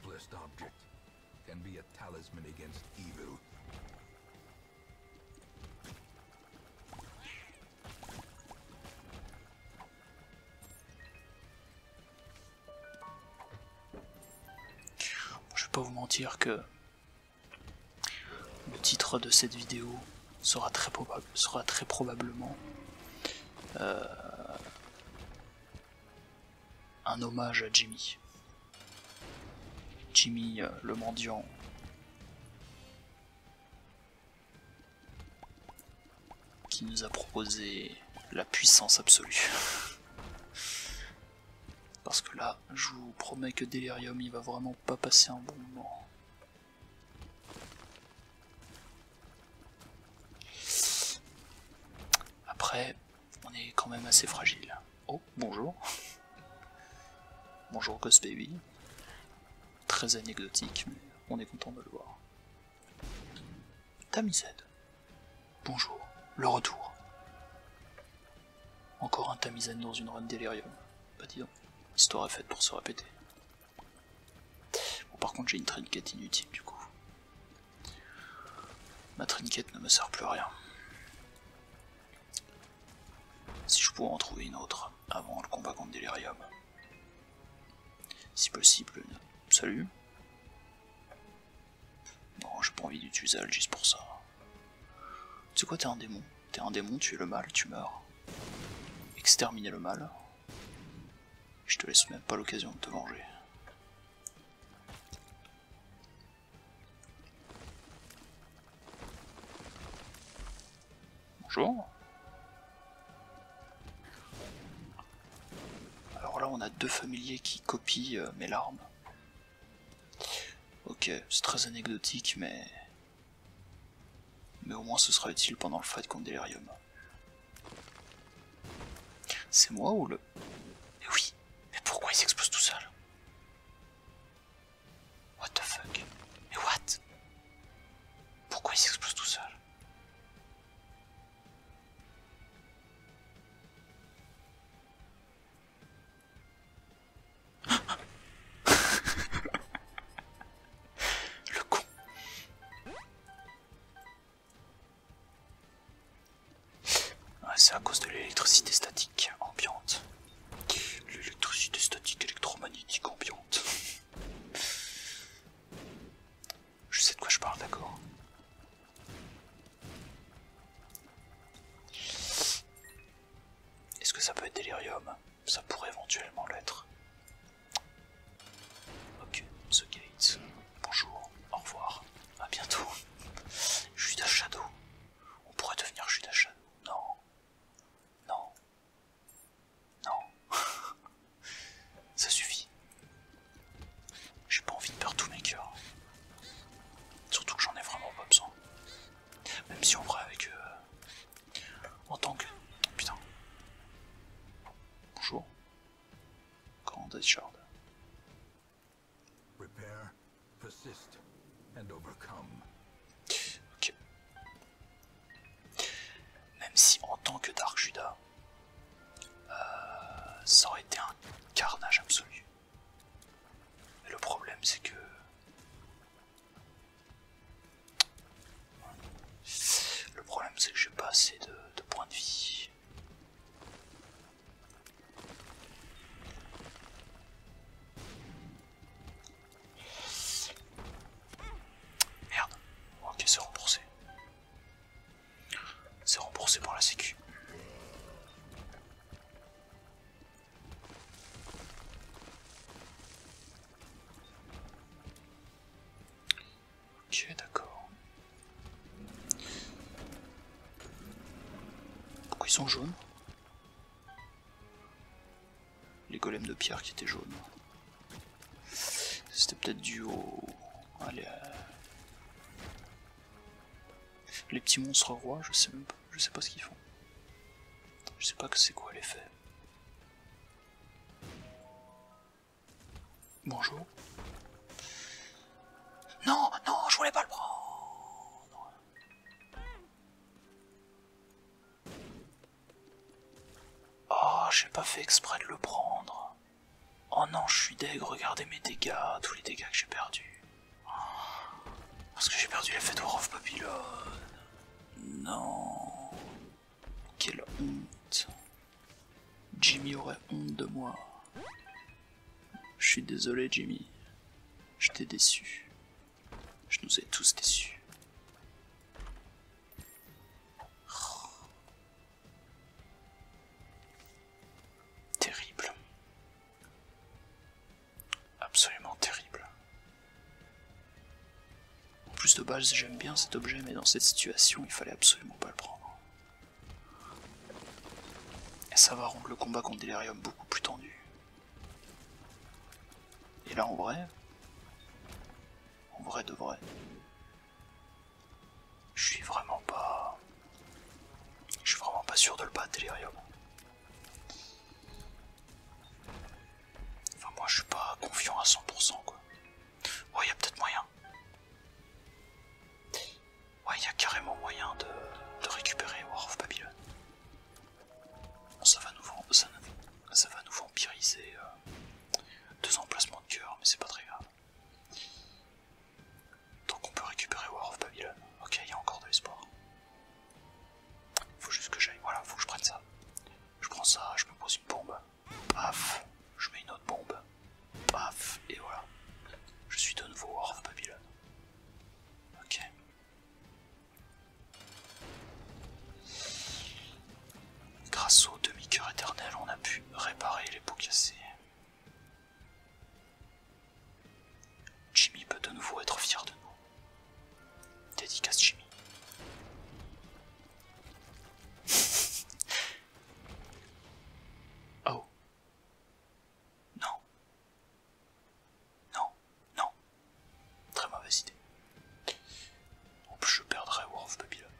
S1: pas vous mentir que le titre de cette vidéo sera très, probable, sera très probablement euh, un hommage à Jimmy. Jimmy euh, le mendiant. Qui nous a proposé la puissance absolue. Parce que là, je vous promets que Delirium, il va vraiment pas passer un bon moment. Après, on est quand même assez fragile. Oh, bonjour. Bonjour Ghostbaby, Très anecdotique, mais on est content de le voir. Tamized. Bonjour, le retour. Encore un Tamizen dans une run délirium, Pas bah, dis donc, l'histoire est faite pour se répéter. Bon par contre j'ai une trinquette inutile du coup. Ma trinquette ne me sert plus à rien. Si je pouvais en trouver une autre avant le combat contre Delirium. Si possible, salut. Non j'ai pas envie d'utiliser Algis pour ça. Tu sais quoi, t'es un démon. T'es un démon, tu es le mal, tu meurs. Exterminer le mal. Je te laisse même pas l'occasion de te venger. Bonjour. Alors là, on a deux familiers qui copient euh, mes larmes. Ok, c'est très anecdotique, mais... Mais au moins ce sera utile pendant le fight contre Delirium. C'est moi ou le... oui, mais pourquoi il s'explose tout seul What the fuck Mais what Pourquoi il s'explose tout seul Le con c'est à cause de l'électricité statique ambiante. L'électricité statique électromagnétique ambiante. je sais de quoi je parle, d'accord Est-ce que ça peut être délirium Ça pourrait éventuellement l'être. Ok, The Gate. Bonjour, au revoir, à bientôt. Judas Shadow. On pourrait devenir Judas Shadow. Non. Non. Non. Ça suffit. J'ai pas envie de perdre tous mes cœurs. Surtout que j'en ai vraiment pas besoin. Même si on vrai avec... Euh, en tant que... Putain. Bonjour. Grand Richard. Repair, persist, and overcome. Ok. Même si en tant que Dark Judas, euh, ça aurait été un carnage absolu. Mais le problème c'est que... Le problème c'est que j'ai pas assez de points de vie. Merde. Oh, ok, c'est remboursé. C'est remboursé par la sécu. Ok, d'accord. Pourquoi ils sont jaunes Les golems de pierre qui étaient jaunes. C'était peut-être dû au... Les petits monstres rois, je sais même pas, je sais pas ce qu'ils font. Je sais pas que c'est quoi l'effet. Bonjour. Non, non, je voulais pas le prendre. Oh, j'ai pas fait exprès de le prendre. Oh non, je suis deg, regardez mes dégâts, tous les dégâts que j'ai perdus. parce que j'ai perdu la fête of Non. Quelle honte. Jimmy aurait honte de moi. Je suis désolé, Jimmy. Je t'ai déçu. Je nous ai tous déçus. Oh. Terrible. Absolument terrible. En plus de base, j'aime bien cet objet, mais dans cette situation, il fallait absolument pas le prendre. Et ça va rendre le combat contre Delirium beaucoup plus tendu. Et là en vrai, en vrai de vrai, je suis vraiment pas, je suis vraiment pas sûr de le battre Delirium. Enfin moi je suis pas confiant à 100% quoi. Ouais y a peut-être moyen. Ouais, il y a carrément moyen de, récupérer War of Babylon. ça, va nous, va nous vampiriser euh, deux emplacements de cœur, mais c'est pas très grave. Donc on peut récupérer War of Babylon. Ok, il y a encore de l'espoir. Faut juste que j'aille. Voilà, faut que je prenne ça. Je prends ça, je me pose une bombe. Paf, je mets une autre bombe paf, et voilà. Je suis de nouveau hors Babylon. Babylone. Ok. Grâce au demi coeur éternel, on a pu réparer les pots cassés. Jimmy peut de nouveau être fier de nous. Dédicace Jimmy. oh, non. Non, non. Très mauvaise idée. En plus, je perdrai War of Babylon.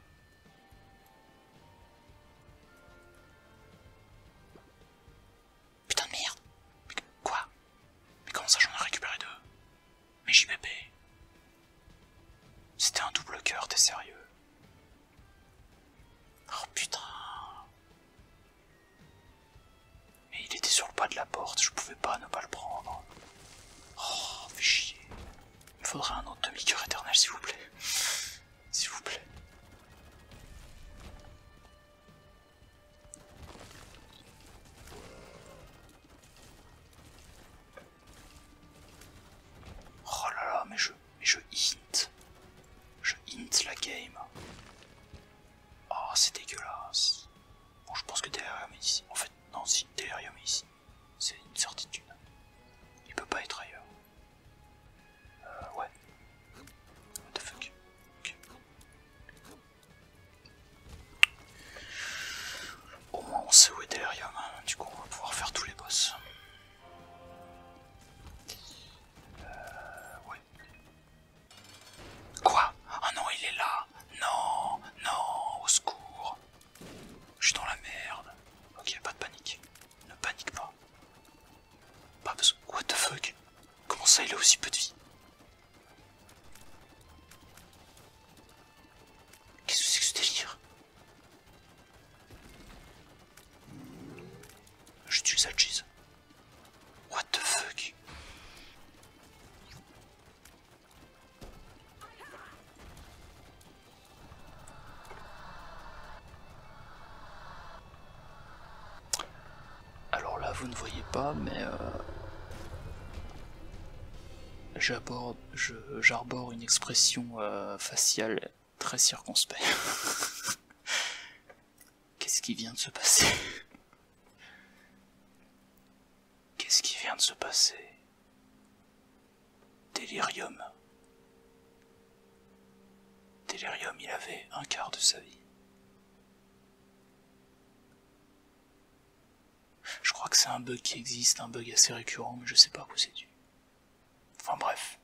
S1: Putain de merde quoi Mais comment ça j'en ai récupéré deux Mais JBP C'était un double cœur, t'es sérieux Oh putain Mais il était sur le pas de la porte, je pouvais pas ne pas le prendre. Oh, fais Il me faudrait un autre demi-cœur éternel, s'il vous plaît. s'il vous plaît. Oh là là, mais je mais je hint. Je hint la game. Oh, c'est dégueulasse. Bon, je pense que Delirium est ici. En fait, non, si Delirium ici, c'est une certitude. Il peut pas être ailleurs. Euh, ouais. What the fuck. Ok. Au moins, on sait où est Delirium. Hein. Du coup, on va pouvoir faire tous les boss. Euh... Ouais. Quoi Ah non, il est là Non Non Au secours Je suis dans la merde. Ok, pas de panique. Ne panique pas. Pas besoin... What the fuck Comment ça, il a aussi peu de vie Qu'est-ce que c'est que ce délire je suis cheese. What the fuck Alors là, vous ne voyez pas, mais euh, j'arbore une expression euh, faciale très circonspect. Qu'est-ce qui vient de se passer Qu'est-ce qui vient de se passer Delirium. Delirium, il avait un quart de sa vie. Je crois que c'est un bug qui existe, un bug assez récurrent, mais je sais pas où c'est dû. Enfin bref,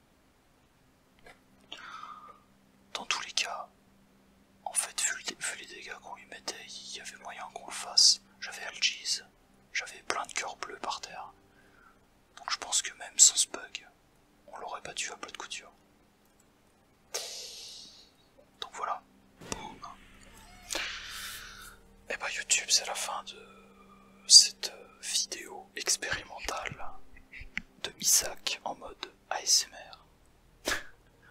S1: dans tous les cas, en fait, vu, les dégâts qu'on lui mettait, il y avait moyen qu'on le fasse. J'avais Algiz, j'avais plein de cœurs bleus par terre. Donc je pense que même sans ce bug, on l'aurait battu à plat de couture. Donc voilà. Et eh bah ben, YouTube, c'est la fin de cette euh, vidéo expérimentale de sac en mode ASMR.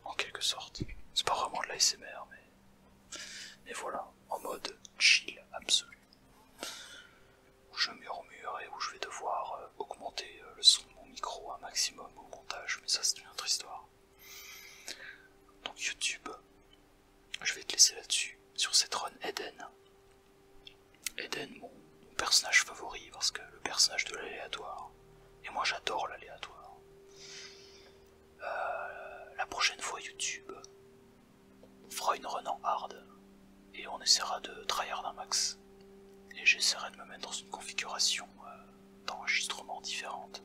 S1: en quelque sorte. C'est pas vraiment de l'ASMR, mais... Mais voilà, en mode chill absolu. Où je murmure et où je vais devoir euh, augmenter euh, le son de mon micro un maximum au montage, mais ça c'est une autre histoire. Donc YouTube, je vais te laisser là-dessus, sur cette run Eden. Eden, mon, personnage favori, parce que le personnage de l'aléatoire. Et moi j'adore l'aléatoire. Euh, la prochaine fois YouTube, on fera une run en hard. Et on essaiera de tryhard un max. Et j'essaierai de me mettre dans une configuration euh, d'enregistrement différente.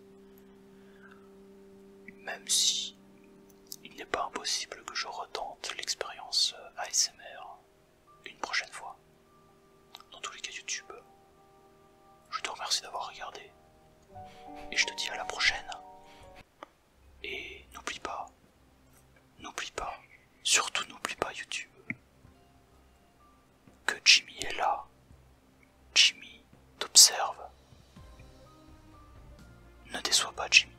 S1: Même si il n'est pas impossible que je retente l'expérience euh, ASMR une prochaine fois. Dans tous les cas YouTube, je te remercie d'avoir regardé. Et je te dis à la prochaine. Et n'oublie pas, n'oublie pas, surtout n'oublie pas YouTube, que Jimmy est là. Jimmy t'observe. Ne déçois pas Jimmy.